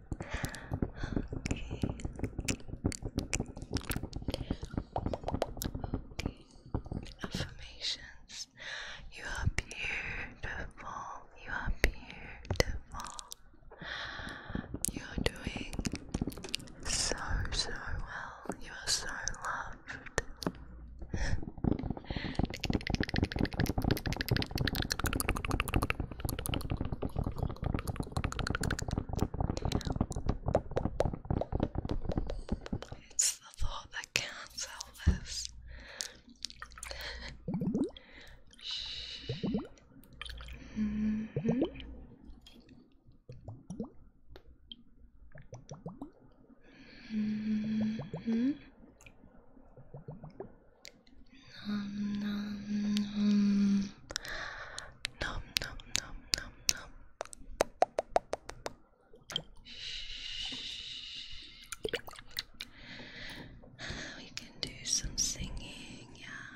Okay. Affirmations. You are beautiful. You are beautiful. You're doing so, so well. You are so loved. It's the thought that counts, Elvis. mm -hmm. Mm -hmm. Nom nom nom nom nom nom nom nom. We can do some singing, yeah.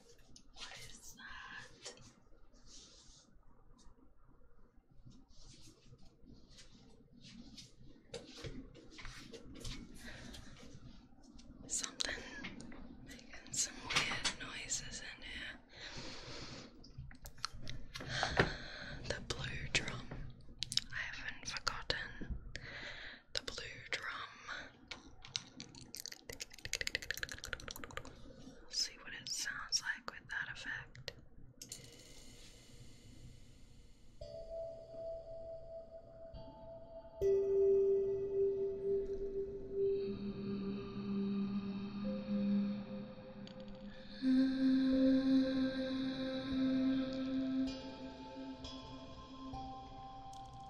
Something making some weird noises in here. The blue drum. I haven't forgotten the blue drum. See what it sounds like with that effect.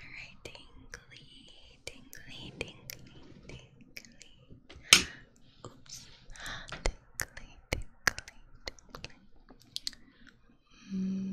Alright, tingly, tingly, tingly, tingly. Oops. Tingly, tingly, tingly. Mm -hmm.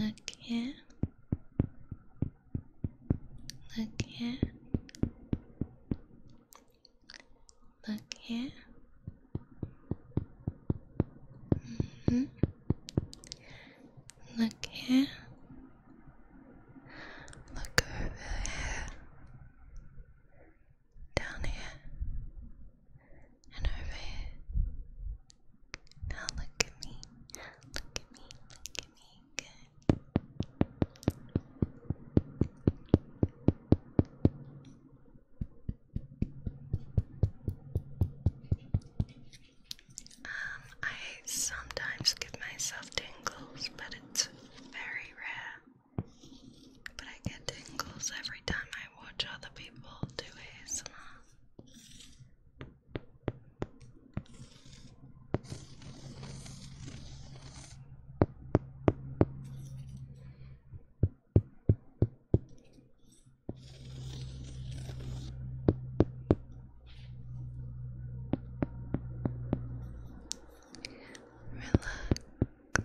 Look here. Look here. Look here. Mm -hmm. Look here. Look over here. Down here and over here. Now look at me, look at me, look at me, good. Um, I sometimes give myself tingles, but it's very rare but I get tingles every time I watch other people do ASMR. Relax. I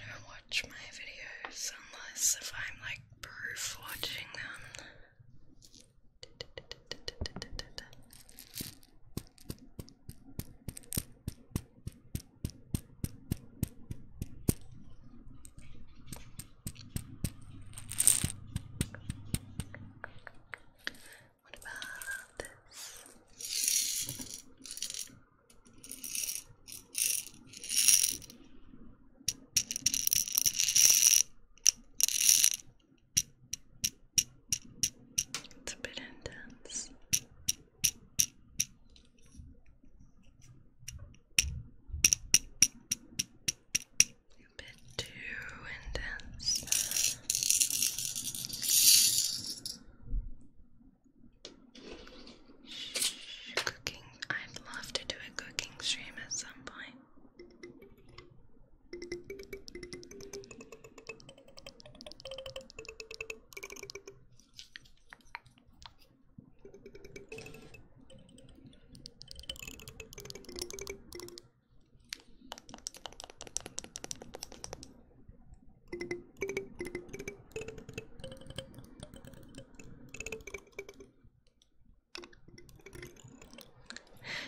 don't watch my videos unless if I'm like proof watching them. What about this? It's a bit intense too intense. Cooking. I'd love to do a cooking stream at some point.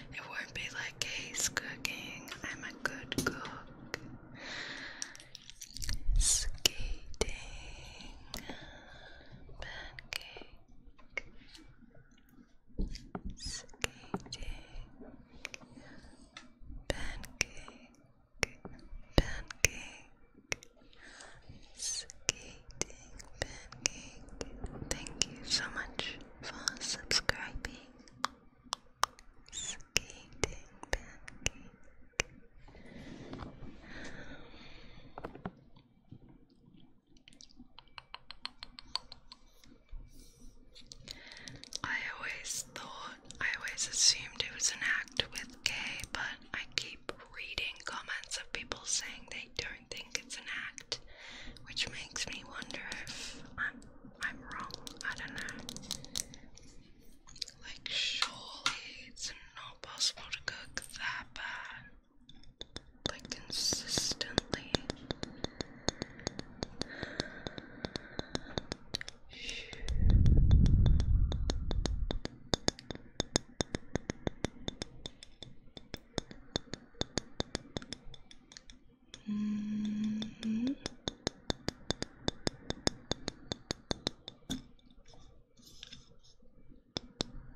It won't be like case cooking. I'm a good cook. Skating pancake skating, pancake, pancake, skating, pancake. Thank you so much for subscribing. Skating, pancake. I always thought, I always assumed it was an act with gay, but I keep reading comments of people saying they don't think it's an act, which makes me wonder if I'm, I'm wrong. I don't know. Like, surely it's not possible to cook that bad like consistently -hmm.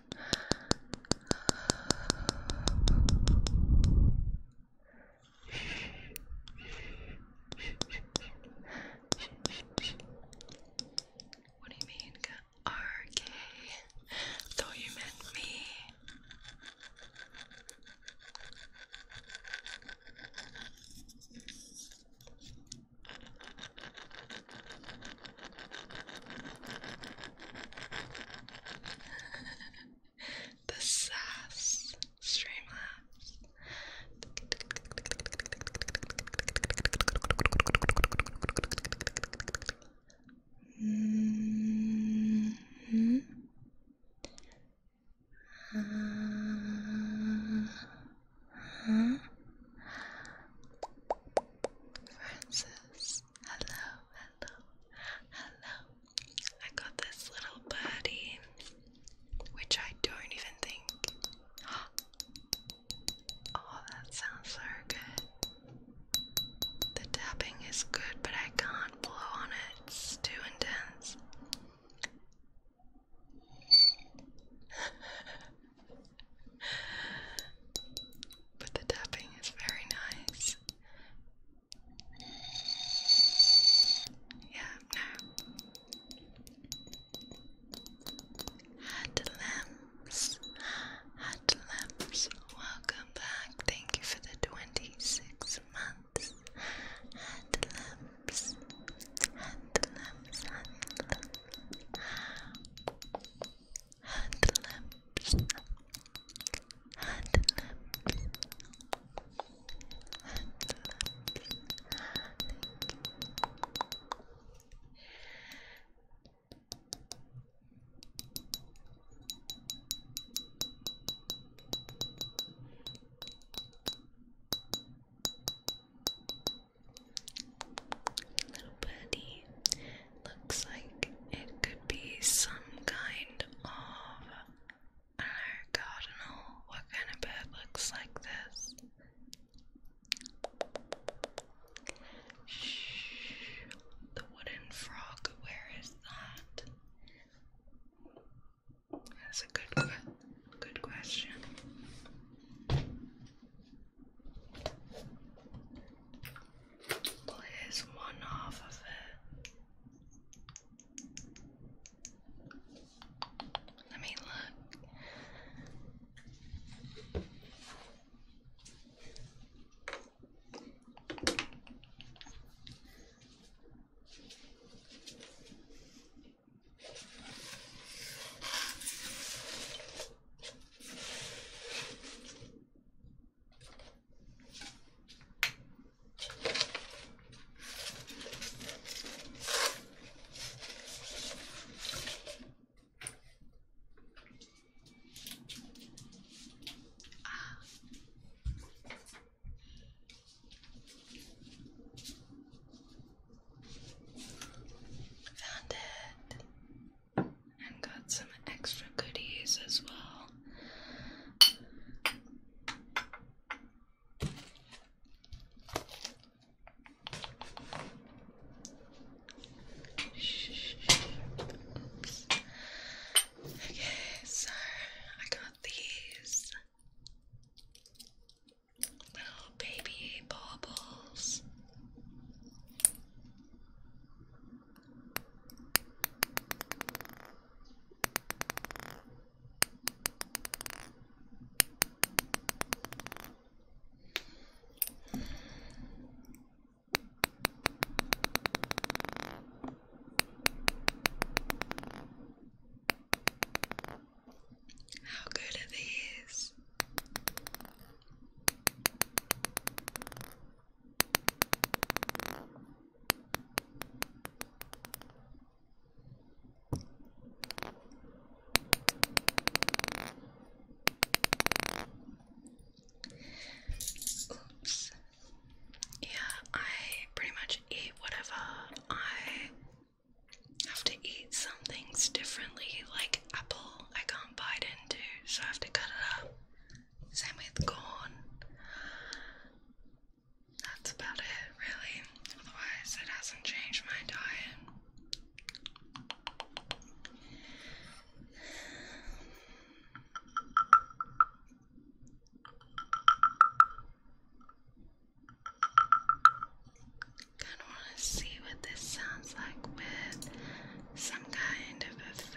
What do you mean? RK? Thought you meant me. the sass streamlabs. hmm uh, uh-huh. Francis Hello, hello, hello. I got this little buddy, which I don't even think. Oh, that sounds so good. The tapping is good, but I can't blow on it, it's too intense. but the tapping is very nice. Yeah, no. Hadlamps, Hadlamps, welcome back. Thank you for the 26 months. Hadlamps, Hadlamps, hand lamps, hand lamps, hand lamps. Little birdie looks like it could be some kind of I don't know, cardinal. What kind of bird looks like this? Shh, the wooden frog. Where is that? That's a good, good question. Well, here's one half of it. Let me look. Found it and got some extra goodies as well. Oops. Okay, so I got these baby bubbles. How good are these? Oops. Yeah, I pretty much eat whatever I have to eat some things differently, like apple, I can't bite into, so I have to cut it up. Same with corn. That's about it, really. Otherwise, it hasn't changed my diet. Kinda wanna see what this sounds like with some kind of effect.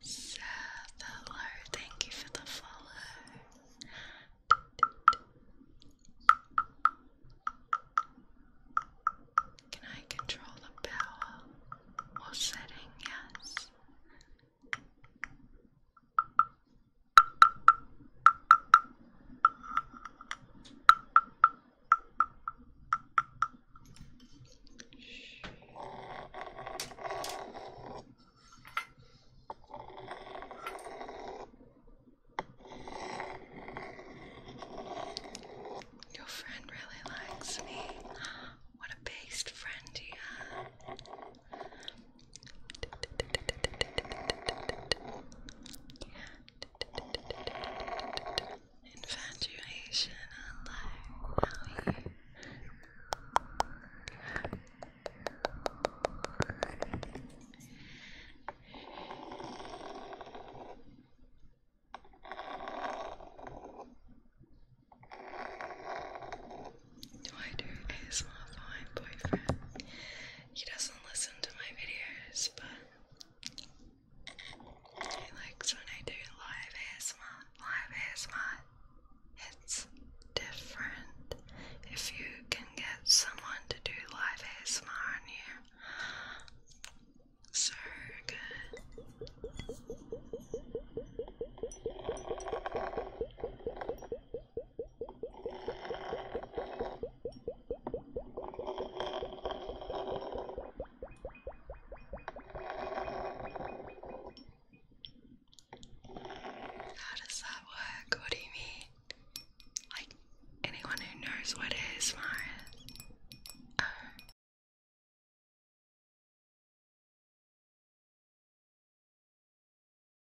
Seth, hello, thank you for the follow. Can I control the power or setting? Yes. Your friend really likes me. What a based friend you have. Infatuation, hello. How are Do I do for my boyfriend? He doesn't listen to my videos, but he likes when I do live ASMR. Live ASMR. It's different. If you can get someone to do live ASMR on you, so good. How does that work? What do you mean? Like, anyone who knows what is ASMR